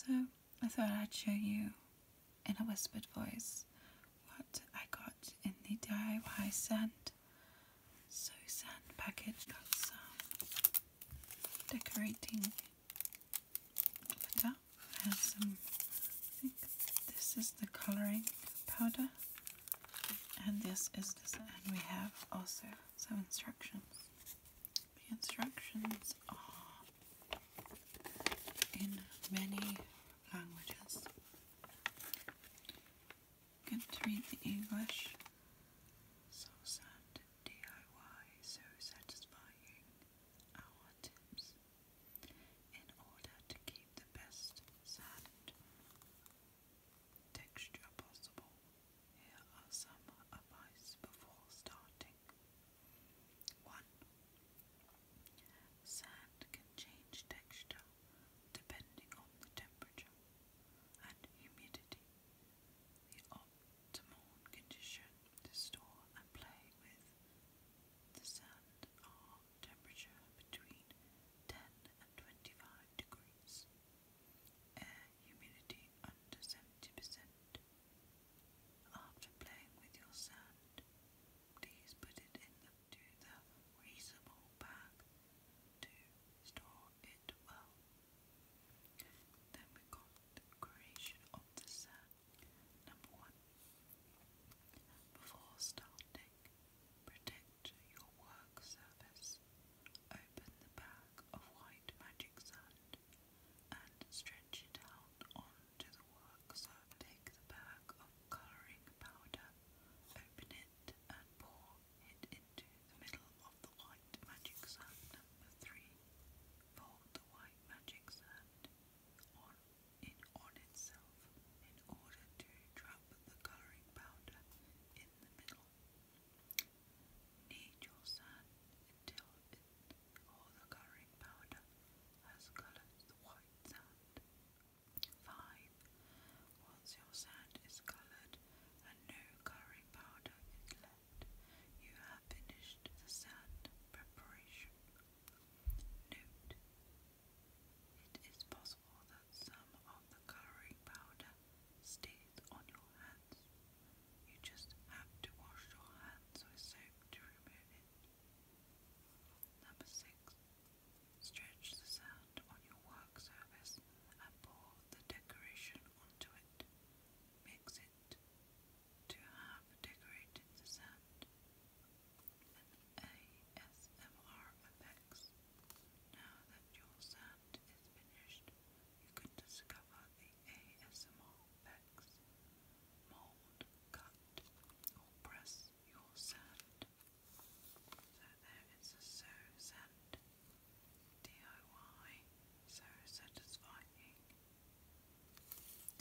So, I thought I'd show you in a whispered voice what I got in the DIY sand. So sand package got some decorating powder and some I think this is the colouring powder and this is this and we have also some instructions. The instructions are in many languages. Good to read the English. So satisfying. Our tips in order to keep the best sand texture possible. Here are some advice before starting. 1. Sand can change texture depending on the temperature and humidity. The optimal condition to store and play with the sand are temperature between 10 and 25 degrees, air humidity under 70%, after playing with your sand, please put it into the reusable bag to store it well. Then we got creation of the sand. Number one. Before starting, protect your work surface. Open the bag of white magic sand and stretch it out onto the work. So take the bag of colouring powder, open it and pour it into the middle of the white magic sand. Number three, fold the white magic sand on in on itself in order to trap the colouring powder in the middle. Knead your sand until all the colouring powder has coloured the white sand. 5. Once your sand is coloured and no colouring powder is left, you have finished the sand preparation. Note: It is possible that some of the colouring powder stays on your hands. You just have to wash your hands with soap to remove it. Number 6. Stretch the sand on your work surface and pour the decoration onto it. Mix it to have decorated sand. An ASMR effects. Now that your sand hunt is finished, you can discover the ASMR mold, cut, or press your sand. So there is a so sand DIY, so satisfying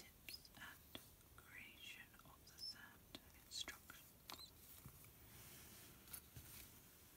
tips and creation of the sand instructions.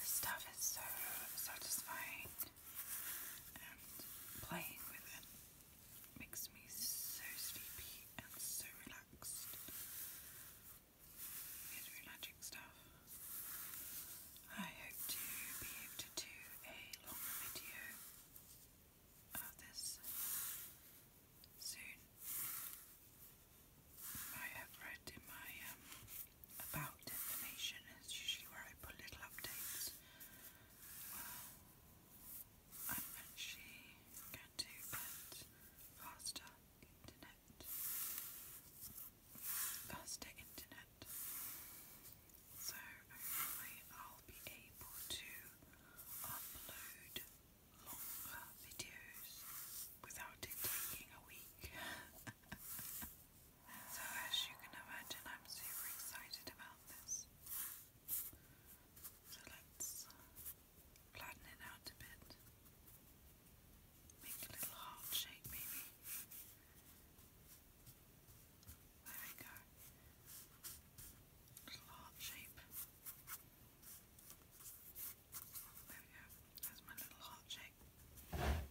This stuff is so satisfying and playing with it Makes me so sleepy and so relaxed. It's really magic stuff. I hope to be able to do a longer video of this soon. I have read in my um, about information is usually where I put little updates well, I'm actually going to get faster internet. Faster internet. So hopefully I'll be able to upload longer videos without it taking a week. So as you can imagine, I'm super excited about this. So let's uh, flatten it out a bit. Make a little heart shape maybe. There we go. Little heart shape. There we go. There's my little heart shape. Let's get the glitter.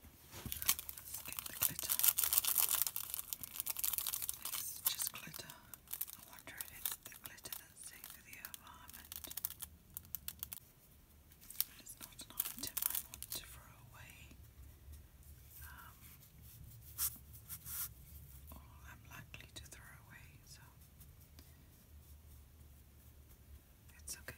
It's just glitter. I wonder if it's the glitter that's safe for the environment. But it's not an item I want to throw away. Um, I'm likely to throw away, so it's okay.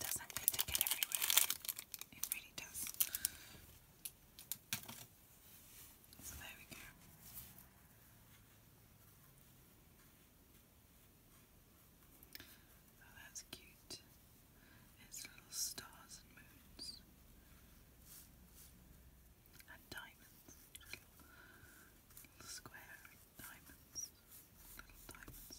Doesn't need to get everywhere. It really does. So there we go. Oh, that's cute. It's little stars and moons. And diamonds. Little, little diamonds. Little diamonds.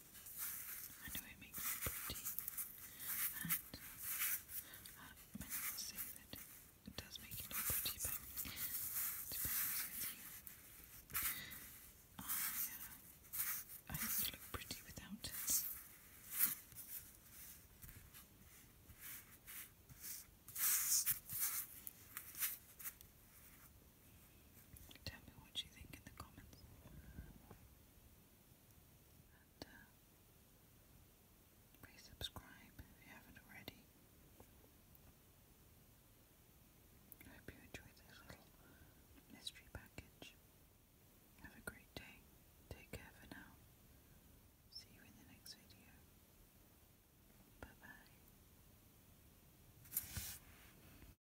I know it makes me pretty, and uh, many will say that it does make you look pretty, but to be honest with you, I, uh, I think you look pretty without it. Tell me what you think in the comments. Uh, please subscribe if you haven't already. I hope you enjoyed this little mystery package. Have a great day. Take care for now. See you in the next video. Bye bye.